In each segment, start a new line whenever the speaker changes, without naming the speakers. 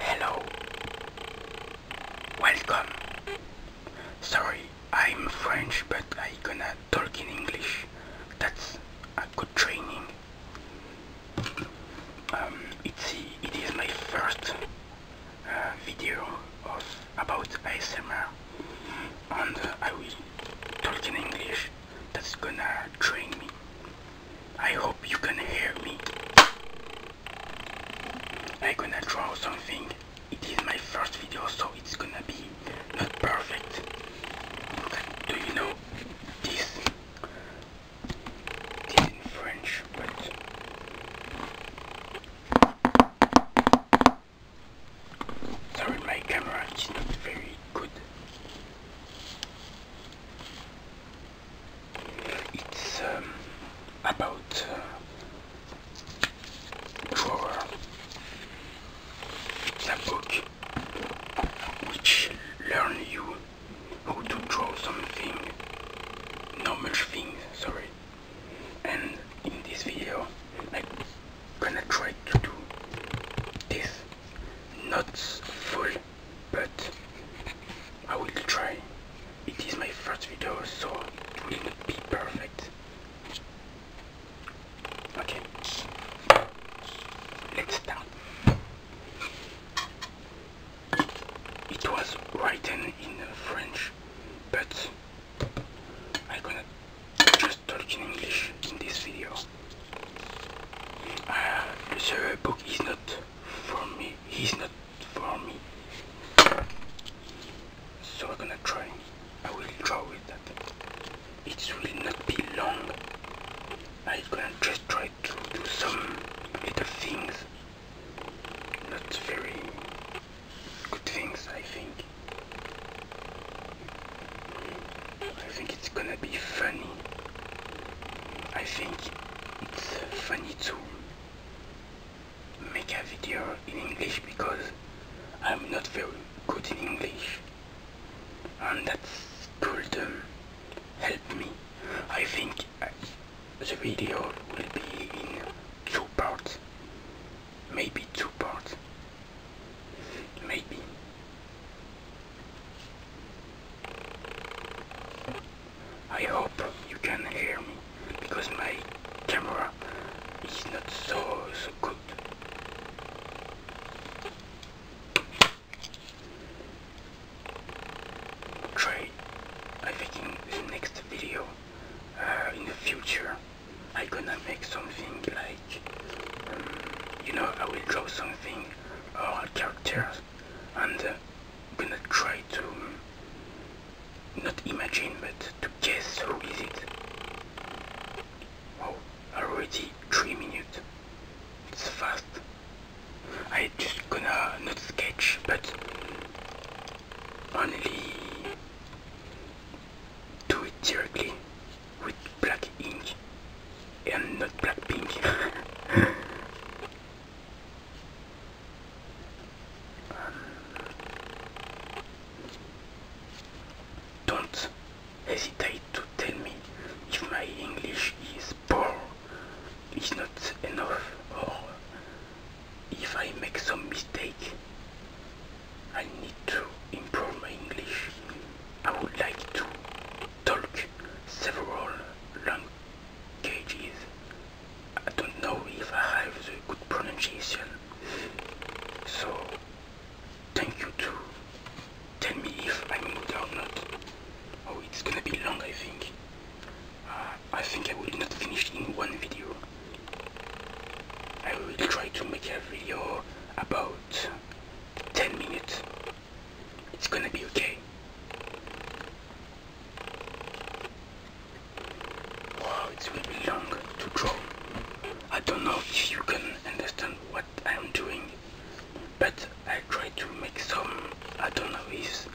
Hello. Welcome. Sorry, I'm French, but I gonna talk in English. That's a good training. Um, it's, it is my first video of about ASMR and uh, I will talk in English that's gonna train me. I hope you can hear me. I gonna draw something. It is my first video so it's gonna be not perfect. Do you know this in French, but sorry, my camera is not very good. It's um, about uh, drawer. book which learn you how oh, to draw something not much things sorry and in this video I'm gonna try to do this not full but I will try it is my first video so it will not be perfect okay let's start it was written in French, but I'm gonna just talk in English in this video. Uh, the book is not for me, he's not for me. So I'm gonna try, I will draw with that. It will not be long. I'm gonna just try to do some little things not very good things, I think. I think it's gonna be funny. I think it's funny to make a video in English because I'm not very good in English. And that's could um, help me. I think the video will be in two parts, maybe two parts, maybe. I hope you can hear me because my camera is not so so good try I think in the next video uh, in the future I gonna make something like um, you know I will draw something uh, or characters and uh, gonna try to not imagine but to guess who is it wow already 3 minutes it's fast I just gonna not sketch but only do it directly with black ink and not black pink don't hesitate to tell me if my English is poor is not enough or if I make some mistake I need to improve my English. I would like to talk several languages. I don't know if I have the good pronunciation. So thank you too tell me if I'm good or not. Oh, it's gonna be long, I think. Uh, I think I will not finish in one video. I will try to make a video about 10 minutes. It's gonna be okay. Wow, it will be long to draw. I don't know if you can understand what I am doing but I try to make some, I don't know if,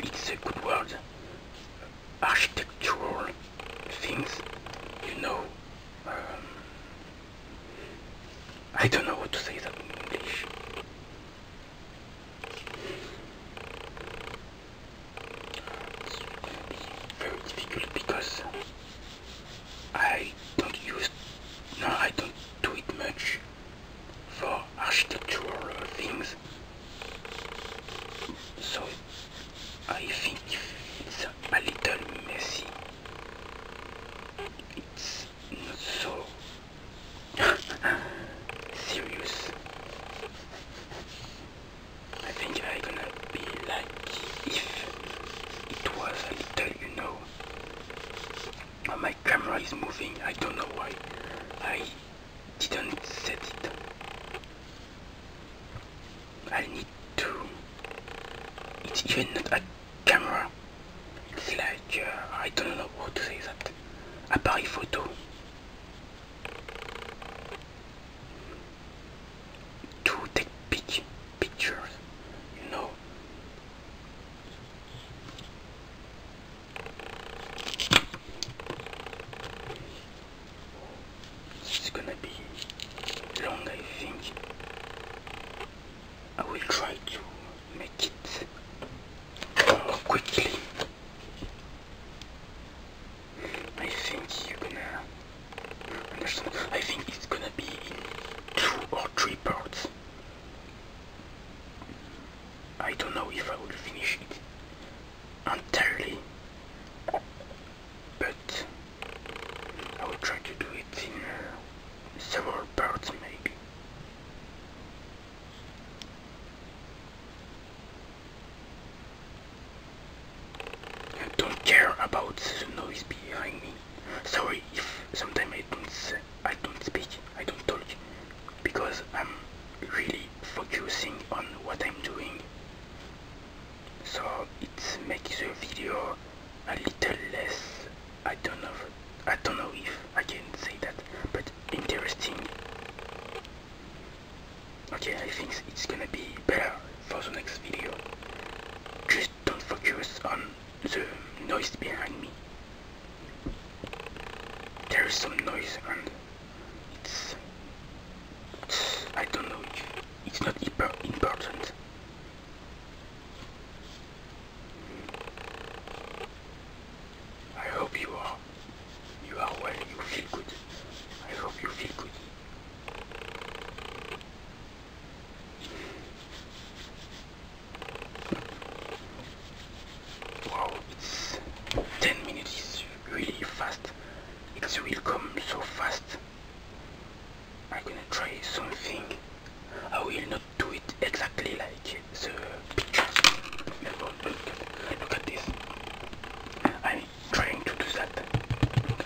it's a good word, architectural things, you know, um, I don't know what to say that in English. It's going to be very difficult because I don't use, no, I don't do it much for architectural things. So I think it's a little messy. It's not so serious. I think I'm going be like if it was a little, you know, Oh, my camera is moving I don't know why I didn't set it I need to it's even not a camera it's like uh, I don't know how to say that appareil photo to take big pictures you know it's gonna be long, I think. I will try to make it more quickly. I think you're gonna understand. I think it's gonna be in two or three parts. I don't know if I will finish it entirely, but I will try to do it in uh, several parts maybe. I don't care about the noise behind me. Sorry if sometimes I don't I don't speak, I don't talk, because I'm really focusing on what I'm doing. So it makes the video a little less. I don't know. I don't know if I can say that, but interesting. Okay, I think it's gonna be better for the next video. Just don't focus on um, the noise behind me. There is some noise and it's, I don't know, it's not hyper important. I hope you are, you are well, you feel good. I hope you feel good. Wow, 10 minutes is really fast. It will come so fast. I'm gonna try something. I will not do it exactly like the picture. look at this. I'm trying to do that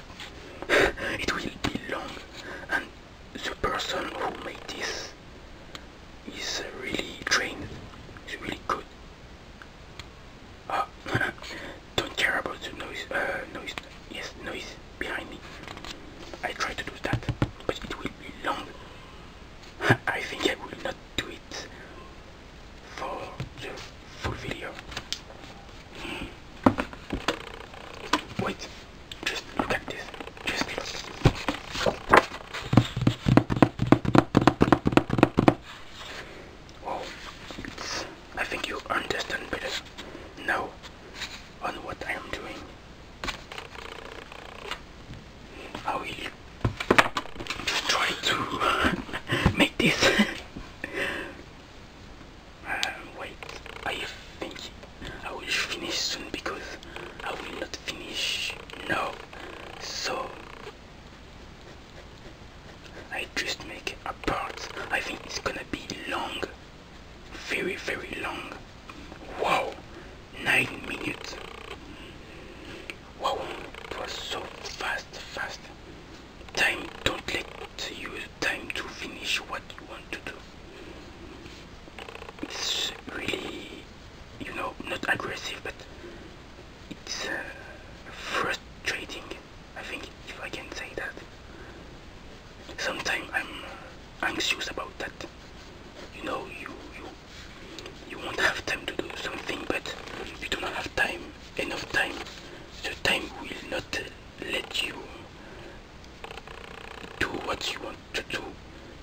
it will be long and the person who made this is really trained is really good ah don't care about the noise uh, noise yes noise behind me I try to do that but it will be long I think I will not do it for the full video Wait, just look at this. Just look. Oh, it's, I think you understand better now on what I am doing. I will try to make this Uh, wait, I think I will finish soon because I will not finish now. So I just make a part. I think it's gonna be long. Very, very long. Wow, 9 minutes. Wow, it was so fast, fast time don't let you time to finish what you want to do it's really you know not aggressive but it's uh, frustrating I think if I can say that sometimes I'm uh, anxious about that you know you you you won't have time to do something but you don't have time enough time the time will not let you do what you want to do.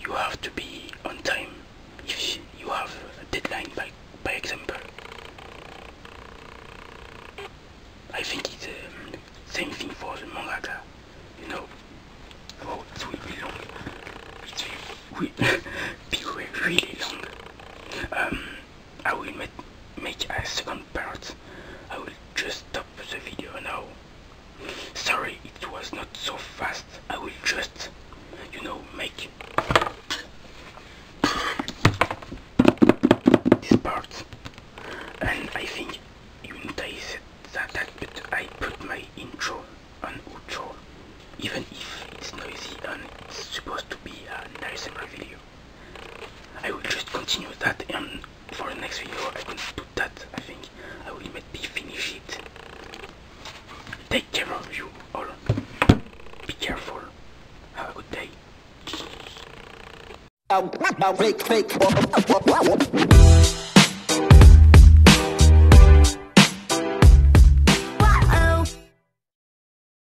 You have to be on time if you have a deadline by, by example. I think it's the um, same thing for the mangaka, you know. Oh, it will be long. It will be really long. Um, I will make a second part. I will just stop the video now. Sorry, it was not so fast. I will just, you know, make this part. And I think you notice that, that but I put my intro on outro. Even if it's noisy and it's supposed to be a nice video. I will just continue that and for the next video I will do that I think I will maybe finish it. Take care of you all. Be careful. Have a good day. Fake, fake.